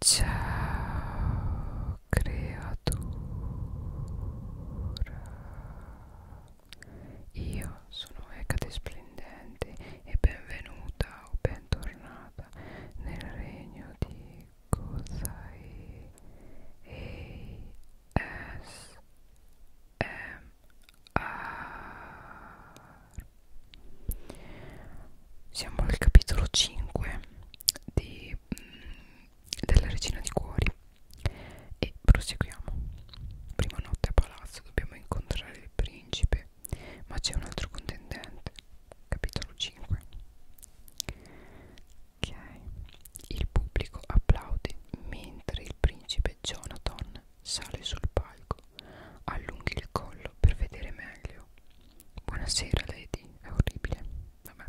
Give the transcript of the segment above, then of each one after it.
Ciao creatura Io sono Ecate Splendente e benvenuta o bentornata nel regno di Kozai ASMR Siamo al capitolo 5 di, mh, mm, della regina di cuori e proseguiamo prima notte a palazzo dobbiamo incontrare il principe ma c'è un altro contendente capitolo 5 ok il pubblico applaude mentre il principe Jonathan sale sul palco allunghi il collo per vedere meglio proprio buonasera Lady è orribile vabbè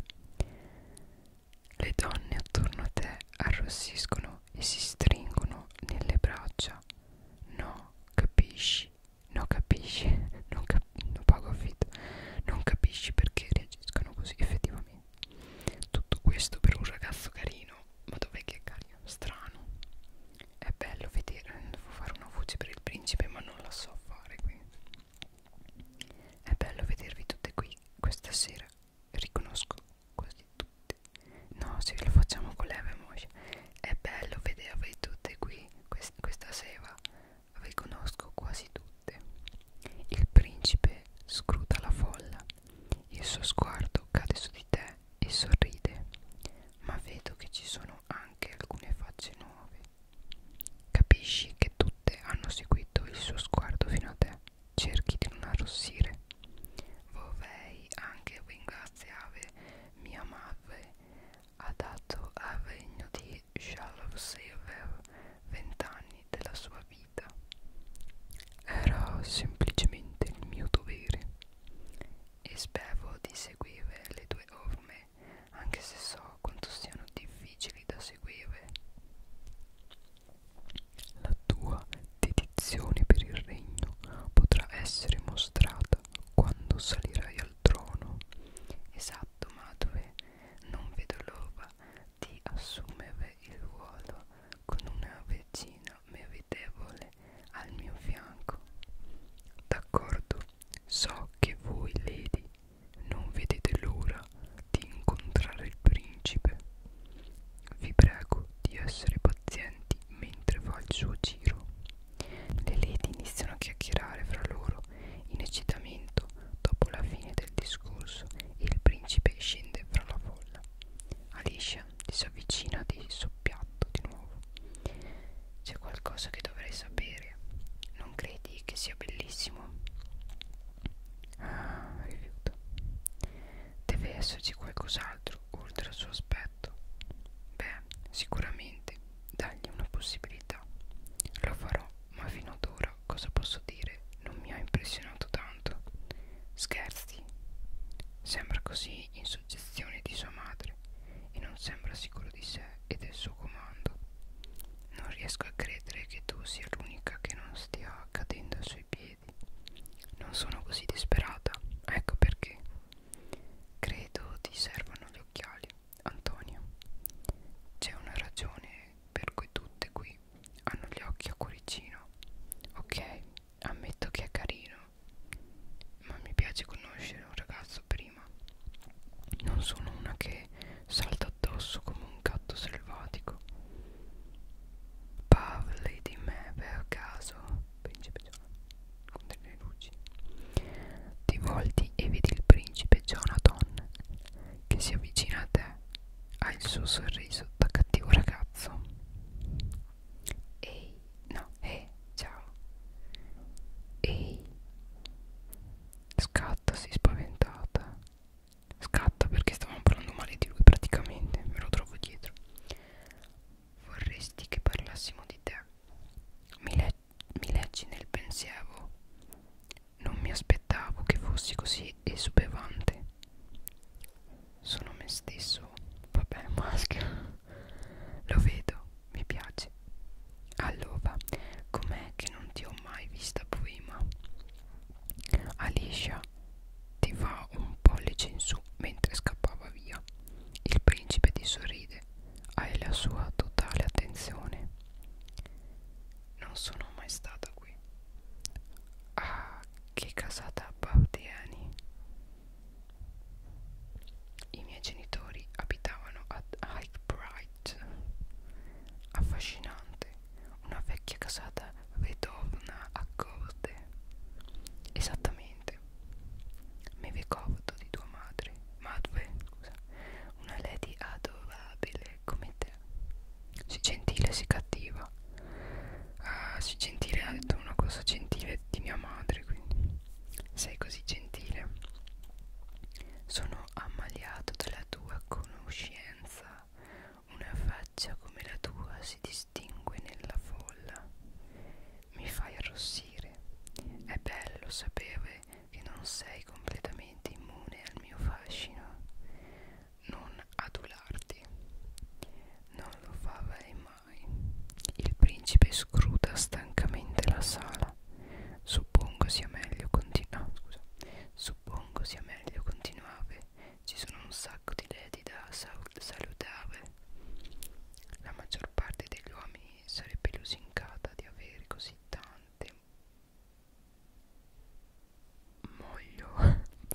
le donne attorno a te arrossiscono e si stringono nelle braccia no capisci no capisci non, cap non pago affitto non capisci perché reagiscono così effettivamente tutto questo per un ragazzo carino ma dov'è che è carino strano è bello vedere devo fare una voce per il principe ma non la so fare quindi bene. È bello vedervi tutte qui questa sera. Riconosco quasi tutte. No, se lo facciamo con l'Evemosh. È bello vedervi tutte qui quest questa sera. Riconosco quasi tutte. Il principe scruta la folla. Il suo sguardo cade su di te e sorride. Ma vedo che ci sono anche alcune facce nuove. Capisci che tutte hanno seguito il suo sguardo fino a te. Cerchi di non arrossire. Vovei anche ringraziare mia madre. Ha dato al regno di Charles Silver vent'anni della sua vita. Era semplicemente il mio dovere. E spero di seguire le tue orme fare anche se so quanto siano difficili da seguire la tua dedizione per il regno potrà essere mostrata quando salirai al trono esatto madre non vedo l'ora di assumere il ruolo con una regina meritevole al mio fianco d'accordo So che voi, Lady, non vedete l'ora di incontrare il principe. Vi prego di essere pazienti mentre fa il suo giro. Le Lady iniziano a chiacchierare fra loro in eccitamento dopo la fine del discorso e il principe scende fra la folla. Alicia si avvicina di soppiatto di nuovo c'è qualcosa che dovrei sapere. Non credi che sia bellissimo? Ah, rifiuto. Deve esserci qualcos'altro oltre al suo aspetto. Beh, sicuramente dagli una possibilità. Lo farò, ma fino ad ora cosa posso dire? Non mi ha impressionato tanto. Scherzi. Sembra così in suggestione di sua madre e non sembra sicuro di sé e del suo comando. Non riesco a credere che tu sia l'unica che non stia cadendo ai suoi piedi. Non sono così disperata, ecco perché. Credo ti servano gli occhiali, Antonio. C'è una ragione per cui tutte qui hanno gli occhi a cuoricino. Ok, ammetto che è carino, ma mi piace conoscere un ragazzo prima prima non sono una che salta addosso come un gatto selvatico parli di me per caso principe Jonathan con delle luci ti volti e vedi il principe Jonathan che si avvicina a te ha il suo sorriso da cattivo ragazzo ehi no eh ciao ehi Scatta, si spaventata. Scatta perché stavamo parlando male di lui praticamente, me lo trovo dietro. Vorresti che parlassimo di te. Mi, le mi leggi nel pensiero. Non mi aspettavo che fossi così esubevante. Sono me stesso. Vabbè, maschio. Lo vedo mi piace allora com'è che non ti ho mai vista prima Alicia ti fa un pollice in su mentre scappava via il principe ti sorride hai la sua totale attenzione non sono mai stata qui ah che casata appartieni i miei genitori abitavano ad Hyde Pride Street. Affascinante, una vecchia casata vedovna a corde. Esattamente. Mi ricordo di tua madre, madre, scusa, una lady adorabile come te. Sii gentile, sii cattiva. Ah, sii gentile, ha detto una cosa gentile di mia madre, quindi. Sei così gentile. Sono ammaliato dalla tua conoscenza. Una faccia come la tua si distingue nella folla. Mi fai arrossire. È bello sapere che non sei completamente immune al mio fascino. Non adularti. Non lo farei mai. Il principe scruta stancamente la sala no suppongo sia meglio continuare no, scusa suppongo sia meglio continuare ci sono un sacco di lady da sal salutare la maggior parte degli uomini sarebbe lusingata di avere così tante moglio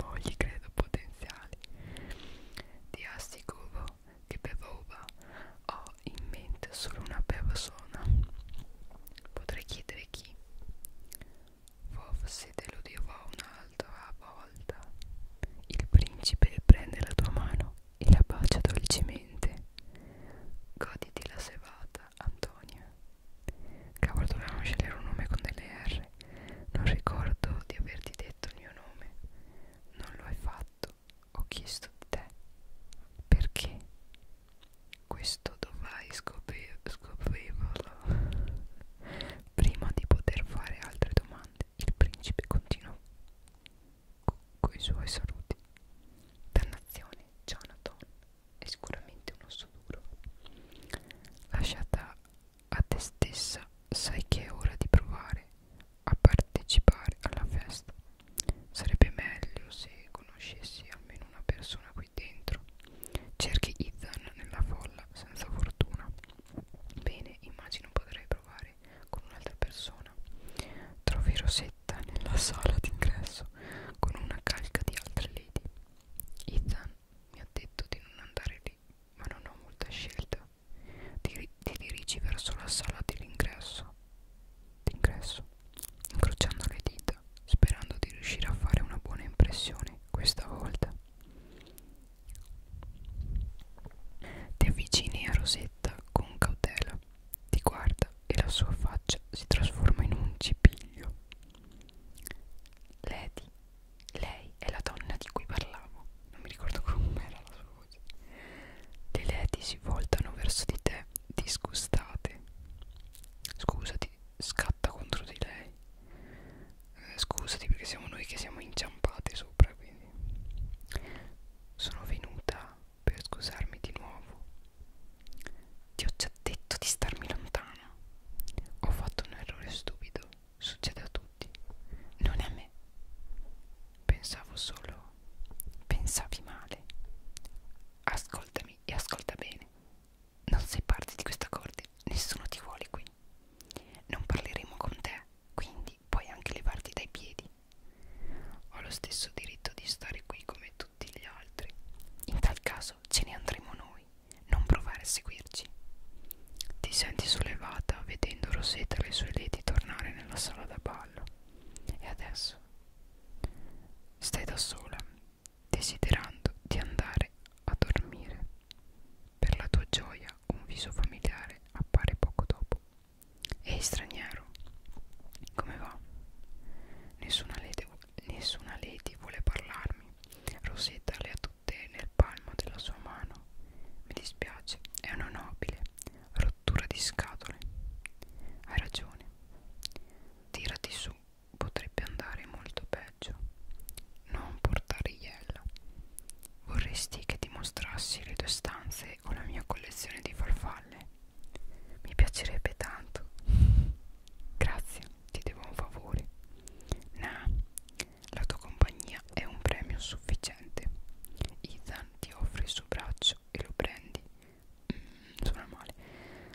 mogli credo potenziali di assicuro che per roba ho in mente solo una persona potrei chiedere chi forse te lo dirò un'altra volta il principe prende la tua mano e la bacia dolcemente goditi la serata Antonia cavolo dovevamo scegliere un nome con delle R non ricordo di averti detto il mio nome non lo hai fatto ho chiesto di te perché questo dovrai scopri scoprirlo prima di poter fare altre domande il principe continuò coi suoi saluti dannazione Jonathan è sicuramente un osso duro lasciata a te stessa sai che è ora di provare a partecipare alla festa Sarebbe meglio se conoscessi almeno una persona qui dentro. Cerchi Ethan nella folla senza fortuna. Bene, immagino potrei provare con un'altra persona. Trovi Rosetta nella sala d'ingresso con una calca di altre lady. Ethan mi ha detto di non andare lì, ma non ho molta scelta. Ti, ti dirigi verso la sala dell'ingresso. D'ingresso incrociando le dita, sperando di riuscire a fare una buona impressione questa volta. Ti avvicini a Rosetta con cautela, ti guarda e la sua faccia si trasforma in un cipiglio. Lady, lei è la donna di cui parlavo, non mi ricordo com'era la sua voce scusi. Le leti si voltano verso di te, disgustate. Scusati, scatta contro di lei. Eh, scusati perché siamo noi che siamo inciampati sopra, quindi. Sono venuta per scusarmi di nuovo. Ti ho già detto di starmi lontana. Ho fatto un errore stupido. Succede a tutti, non a me. Pensavo solo pensavi male. Ascoltami e ascolta bene. Non sei parte di questa corte, nessuno ti vuole qui. Non parleremo con te, quindi puoi anche levarti dai piedi. Ho lo stesso diritto di stare qui come tutti gli altri. In tal caso ce ne andremo noi, non provare a seguirci. Ti senti sollevata vedendo Rosetta e le sue leti tornare nella sala da ballo. E adesso Stai da sola, desiderando di andare a dormire. Per la tua gioia un viso familiare appare poco dopo. Ehi straniero, come va? Nessuna lady, nessuna lady vuole parlarmi. Rosetta le ha tutte nel palmo della sua mano. Mi dispiace, è una nobile rottura di scatole. Hai ragione. Tirati su, potrebbe andare molto peggio. Non portare iella. Vorresti che ti mostrassi le tue stanze o la mia collezione di farfalle? Mi piacerebbe tanto. Grazie, ti devo un favore. Nah, la tua compagnia è un premio sufficiente. Ethan ti offre il suo braccio e lo prendi Mm, suona male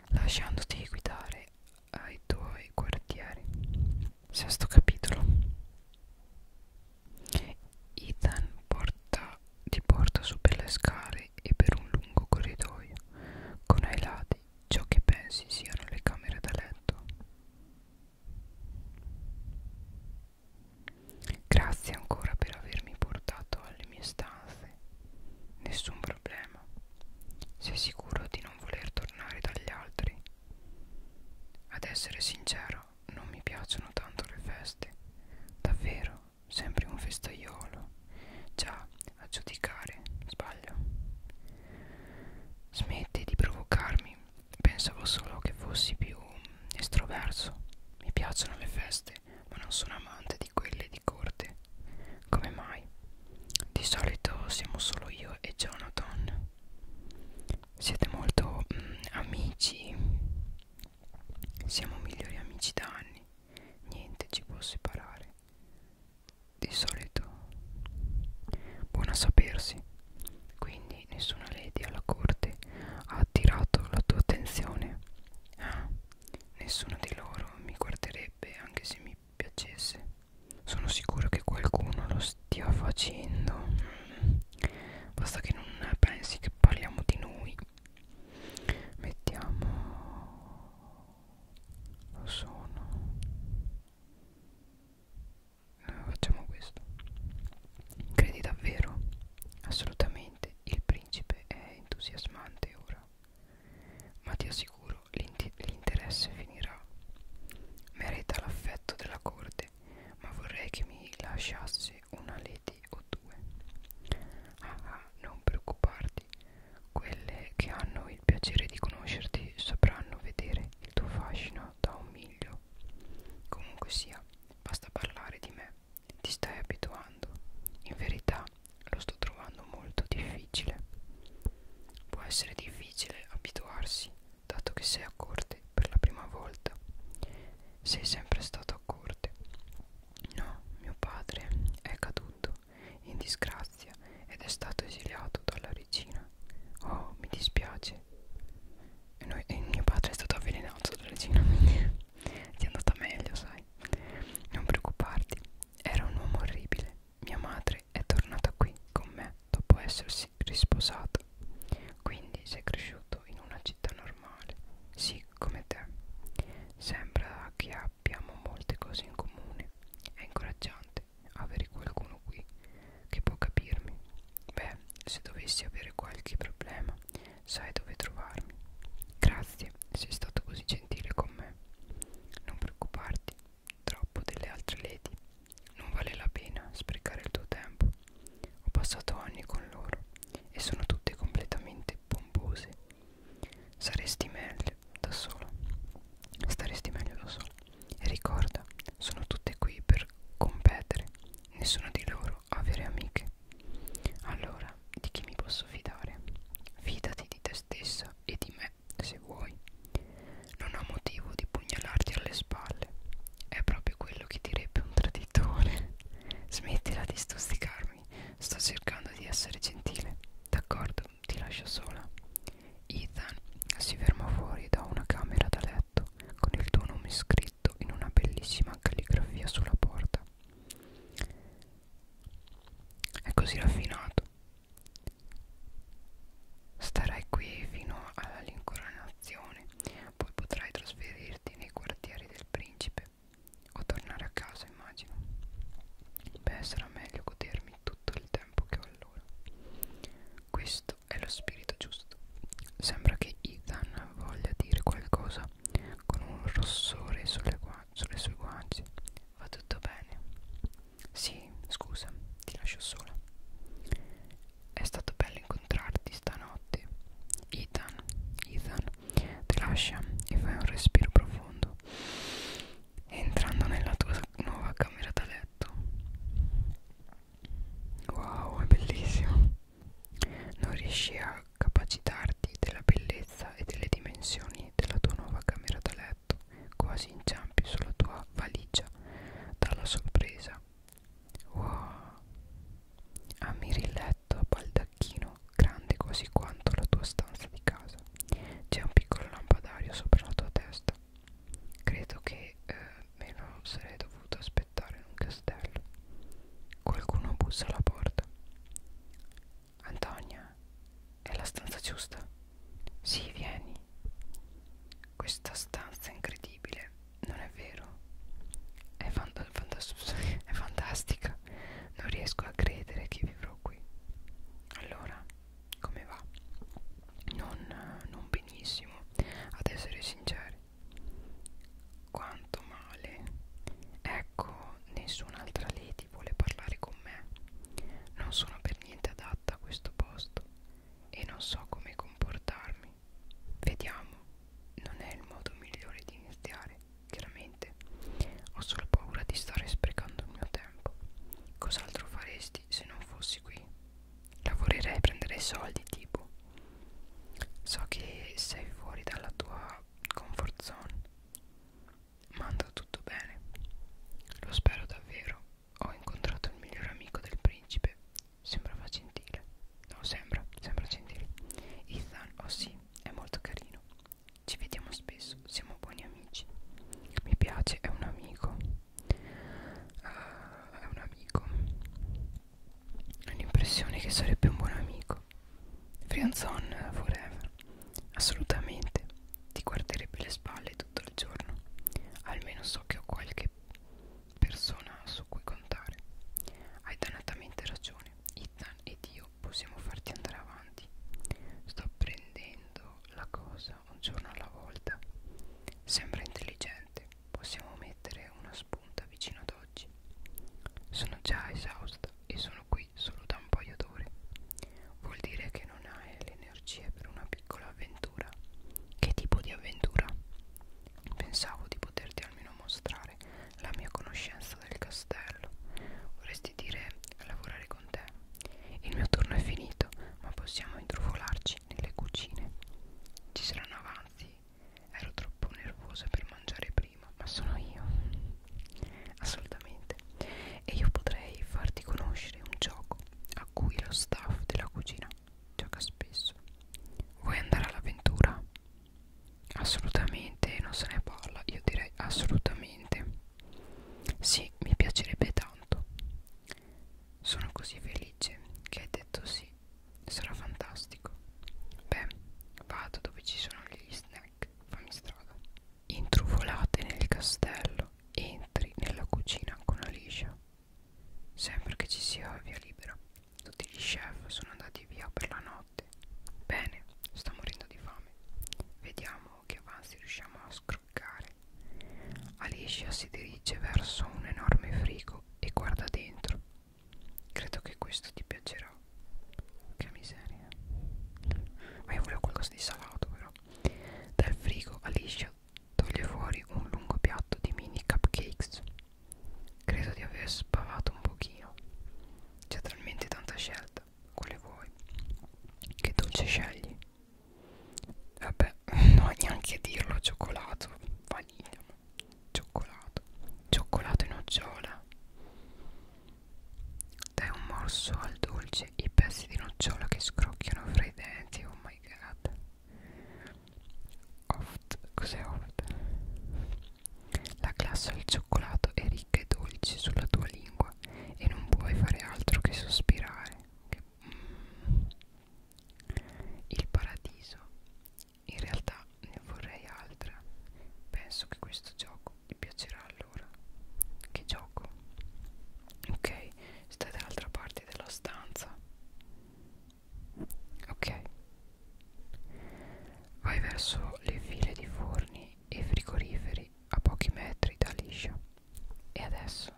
lasciandoti guidare ai tuoi quartieri sesto capitolo Ethan porta, ti porta su per le scale e per un lungo corridoio con ai lati ciò che pensi siano le camere da letto Grazie ancora per avermi portato alle mie stanze. Nessun problema. Sei sicuro di non voler tornare dagli altri? Ad essere sincero, non mi piacciono tanto le feste. Davvero, sempre un festaiolo. Già, a giudicare, sbaglio. Smetti di provocarmi. Pensavo solo che fossi più mm, estroverso. Mi piacciono le feste, ma non sono amante di quelle di corte. Come mai? Di solito siamo solo io e Jonathan. Siete molto mm, amici. Siamo migliori amici da anni. Niente ci può separare. Di solito. Buona sapersi. Quindi nessuna lady alla corte ha attirato la tua attenzione. Ah, Nessuno di loro mi guarderebbe anche se mi piacesse. Sono sicuro che qualcuno lo stia facendo. Basta che non pensi che parliamo di noi. Mettiamo... Lo sono. Eh, facciamo questo. Credi davvero? Assolutamente il primo principe è entusiasmante ora. Ma ti assicuro, l'interesse finirà. Merita l'affetto della corte, ma vorrei che mi lasciasse una lady o due. Ah, ah, non preoccuparti. Quelle che hanno il piacere di conoscerti sapranno vedere il tuo fascino da un miglio. Comunque sia, basta parlare di me ti stai abituando. In verità lo sto trovando molto difficile. Può essere difficile abituarsi, dato che sei a corte per la prima volta. Sei sempre stato a corte. No, mio padre è caduto in disgrazia ed è stato esiliato dalla regina. Oh, mi dispiace. E, noi, e mio padre è stato avvelenato dalla regina. Ti è andata meglio, sai? Non preoccuparti, era un uomo orribile. Mia madre è tornata qui con me dopo essersi risposata. Quindi sei cresciuto in una città normale. Sì, come te. Sembra che abbiamo molte cose in comune. È incoraggiante avere qualcuno qui che può capirmi. Beh, se dovessi avere qualche problema, sai dove trovarmi. Grazie, sei stato così gentile con me. Non preoccuparti troppo delle altre lady. Non vale la pena sprecare il tuo tempo. Ho passato anni con loro e sono tutte completamente pompose. Saresti meglio da sola. Staresti meglio da sola. E ricorda, sono tutte qui per competere. Nessuna di loro ha vere amiche. Allora, di chi mi posso fidare? Fidati di te stessa e di me, se vuoi. Non ho motivo di pugnalarti alle spalle. È proprio quello che direbbe un traditore. Smettila di stusticarmi. Sto cercando di essere gentile. D'accordo, ti lascio sola. Ethan si ferma fuori da una camera da letto con il tuo nome scritto in una bellissima calligrafia sulla porta. È così raffinato. Starai qui fino all'incoronazione, poi potrai trasferirti nei quartieri del principe o tornare a casa, immagino. Beh, sarà meglio godermi tutto il tempo che ho allora. Questo è lo spirito giusto. Sembra che Ethan voglia dire qualcosa con un rossore sulle, sulle sue guance. Va tutto bene? Sì, scusa, ti lascio sola. È stato bello incontrarti stanotte. Ethan, Ethan, ti lascia e fai un respiro profondo. Entrando nella tua nuova camera da letto. Wow, è bellissimo. Non riesci a capacitarti della bellezza e delle dimensioni della tua nuova camera da letto, quasi inciampi sulla tua valigia dalla sorpresa. Wow! Ammiri il letto a baldacchino, grande quasi quanto la tua stanza di casa. C'è un piccolo lampadario sopra la tua testa. Credo che eh, me lo sarei dovuto aspettare in un castello. Qualcuno bussa alla porta. Antonia, è la stanza giusta? Sì, vieni. Questa stanza è incredibile, non è vero? È, fanta è fantastica. Non riesco a credere che vivrò qui. Allora, come va? Non, non benissimo, ad essere sinceri quanto male ecco nessun'altra lady vuole parlare con me non sono per niente adatta a questo posto e non so come comportarmi vediamo non è il modo migliore di iniziare chiaramente ho solo paura di stare sprecando il mio tempo cos'altro faresti se non fossi qui lavorerei e prenderei soldi tipo so che sei fuori dalla tua comfort zone ma andò tutto bene. Lo spero davvero. Ho incontrato il miglior amico del principe. Sembrava gentile. No, sembra, sembra gentile. Ethan, oh sì, è molto carino. Ci vediamo spesso, siamo buoni amici. Mi piace, è un amico. Uh, è un amico. Ho l'impressione che sarebbe un buon amico. Frianzon forever Assolutamente Ti guarderebbe le spalle tutto il giorno Almeno so che ho qualche persona su cui contare Hai dannatamente ragione Ethan ed io possiamo farti andare avanti Sto prendendo la cosa un giorno alla volta Sembra intelligente Possiamo mettere una spunta vicino ad oggi Sono già esausta e sono qui qui solo da un paio d'ore. Vuol dire che non hai le energie per una piccola avventura. Che tipo di avventura? Pensavo di poterti almeno mostrare la mia conoscenza del castello. Vorresti dire lavorare con te. Il mio turno è finito, ma possiamo intrufolarci nelle cucine. Ci saranno avanzi. Ero troppo nervosa per mangiare prima prima, ma sono io assolutamente e io potrei farti conoscere un gioco a cui lo staff della cucina gioca spesso vuoi andare all'avventura? assolutamente non se ne parla io direi assolutamente sì mi piacerebbe tanto sono così felice che hai detto sì sarà fantastico beh vado dove ci sono gli snack snack, fammi strada. Intrufolate nel castello, entri nella cucina con Alicia. Sempre che ci sia via libera. Tutti gli chef sono andati via per la notte. Bene, sta morendo di fame. Vediamo che avanzi riusciamo a scroccare. Alicia si dirige verso un enorme frigo e guarda dentro. Credo che questo ti piacerà. Che miseria. Ma io volevo qualcosa di salato però. Dal frigo Alicia toglie fuori un lungo piatto di mini cupcakes. Credo di aver spavato un pochino. C'è talmente tanta scelta. Quale vuoi? Che dolce scegli? Vabbè, non ho neanche a dirlo, cioccolato, vaniglia, cioccolato, cioccolato e nocciola. Dai un morso al dolce i pezzi di nocciola che scrocchiano fra i denti. Oh my god. Oft, cos'è oft? La glassa al cioccolato è ricca e dolce sulla tua lingua e non puoi fare altro che sospirare. Che, mm. Il paradiso. In realtà ne vorrei altra. Penso che questo gioco vi piacerà allora che gioco ok stai dall'altra parte della stanza ok vai verso le file di forni e frigoriferi a pochi metri da liscia e adesso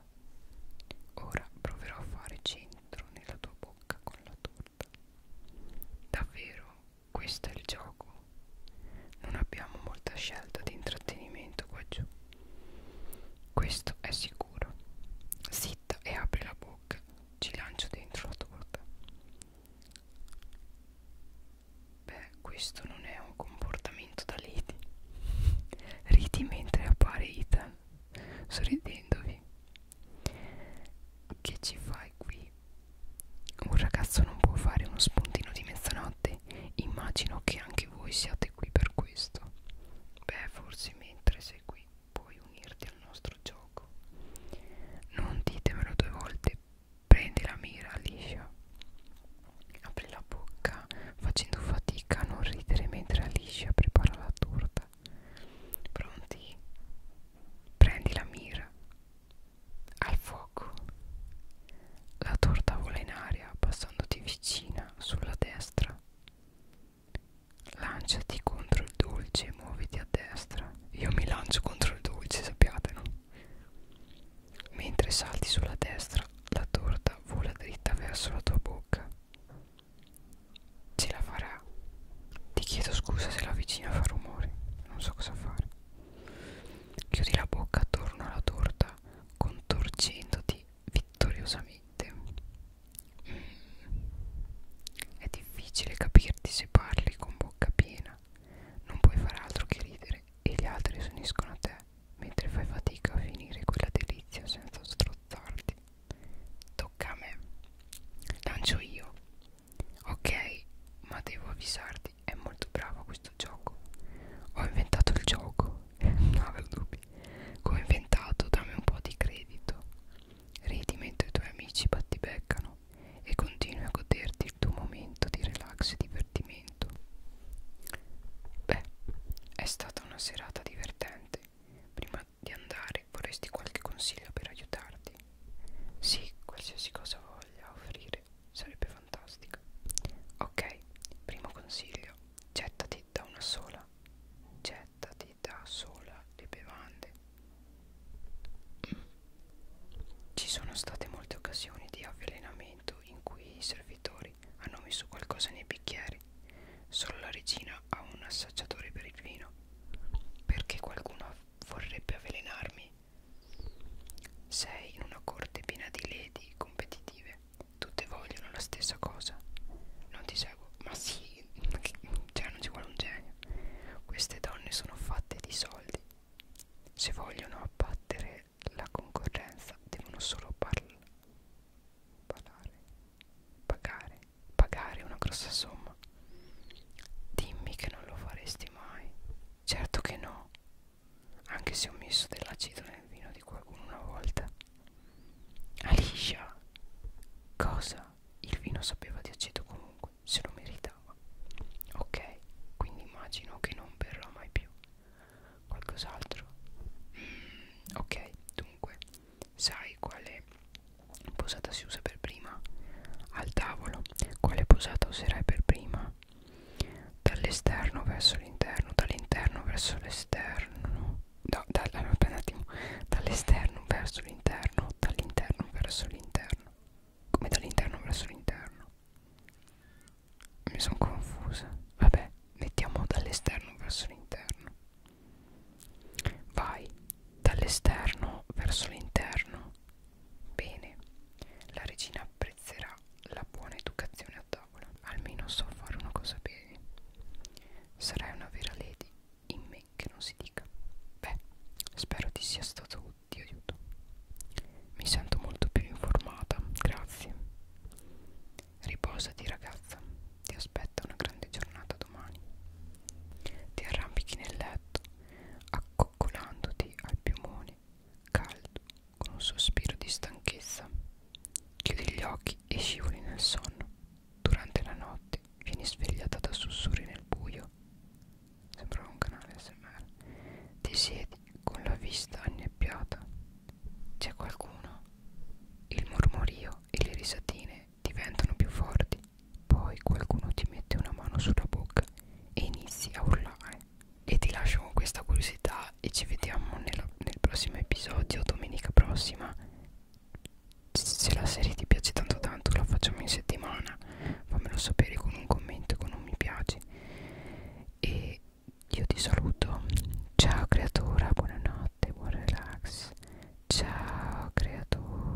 ora proverò a fare centro nella tua bocca con la torta davvero questo è il gioco non abbiamo molta scelta di intrattenimento qua giù questo è sicuro zitta e apri la bocca ci lancio dentro la torta beh questo non è un comportamento da liti ridi mentre appare Ethan sorridendovi che ci fai qui tardi. Un ragazzo non può fare uno spuntino di mezzanotte. Immagino che anche voi siate qui per questo. Beh, forse mentre sei qui puoi unirti al nostro gioco. Non ditemelo due volte. Prendi la mira, Alicia. Apri la bocca facendo fatica a non ridere mentre Alicia prepara la torta. Pronti? Prendi la mira. Al fuoco. La torta vola in aria passandoti vicina sulla destra. Lanciati contro il dolce e muoviti a destra. Io mi lancio contro il dolce, sappiatelo. Mentre salti sulla destra, la torta vola dritta verso la tua bocca. Ce la farà. Ti chiedo scusa se la vicina fa rumore, non so cosa fare. Chiudi la bocca attorno alla torta contorcendoti vittoriosamente. Mm. È difficile capirti se parli con bocca piena. Non puoi far altro che ridere e gli altri si uniscono a te mentre fai fatica a finire quella delizia senza strozzarti. Tocca a me. Lancio io Ok, ma devo avvisarti, è molto bravo questo gioco. Ho inventato il gioco, non avevo dubbi. Ho inventato, dammi un po' di credito. Ridi mentre i tuoi amici battibeccano e continui a goderti il tuo momento di relax e divertimento. Beh, è stata una serata divertente. Prima di andare vorresti qualche consiglio per aiutarti? Sì, qualsiasi cosa vuoi voglia offrire sarebbe fantastica ok primo consiglio gettati da una sola gettati da sola le bevande ci sono state molte occasioni di avvelenamento in cui i servitori hanno messo qualcosa nei bicchieri solo la regina ha un assaggiatore per il vino perché qualcuno vorrebbe avvelenarmi sei in una corte piena di lady competitive. Tutte vogliono la stessa cosa. Non ti seguo. Ma sì, cioè non ci vuole un genio. Queste donne sono fatte di soldi. Se vogliono abbattere la concorrenza, devono solo parlare. Pagare. Pagare una grossa somma. Dimmi che non lo faresti mai. Certo che no. Anche se ho messo dell'acido nel vino di qualcuno una volta. Alicia. Cosa? Il vino sapeva di aceto comunque, se lo meritava. Ok, quindi immagino che non berrà mai più. Qualcos'altro? Mm, ok, dunque, sai quale posata si usa per prima? Al tavolo quale posata userai per prima dall'esterno verso l'interno dall'interno verso l'esterno no, da, un attimo dall'esterno verso l'interno dall'interno verso l'interno come dall'interno verso l'interno mi sono confusa vabbè mettiamo dall'esterno verso l'interno vai dall'esterno verso l'interno Bene, la regina apprezzerà la buona educazione a tavola. Almeno so fare una cosa bene. Sarai una vera lady, in me che non si dica. Beh, spero ti sia stato di aiuto. Mi sento molto più informata, grazie. Riposati ragazza, ti aspetta una grande giornata domani. Ti arrampichi nel letto, accoccolandoti al piumone caldo con un sospiro di stanchezza. Chiudi gli occhi e scivoli nel sonno. Durante la notte vieni svegliata da sussurri nel buio. Sembrava un canale SMR. Ti siedi con la vista annebbiata. C'è qualcuno? Il mormorio e le risatine diventano più forti poi qualcuno ti mette una mano sulla bocca e inizi a urlare. E ti lascio con questa curiosità e ci vediamo nel, nel prossimo episodio, domenica prossima. Se la serie ti piace tanto tanto la facciamo in settimana, fammelo sapere con un commento, con un mi piace. E io ti saluto. Ciao creatura, buonanotte, buon relax. Ciao creatura.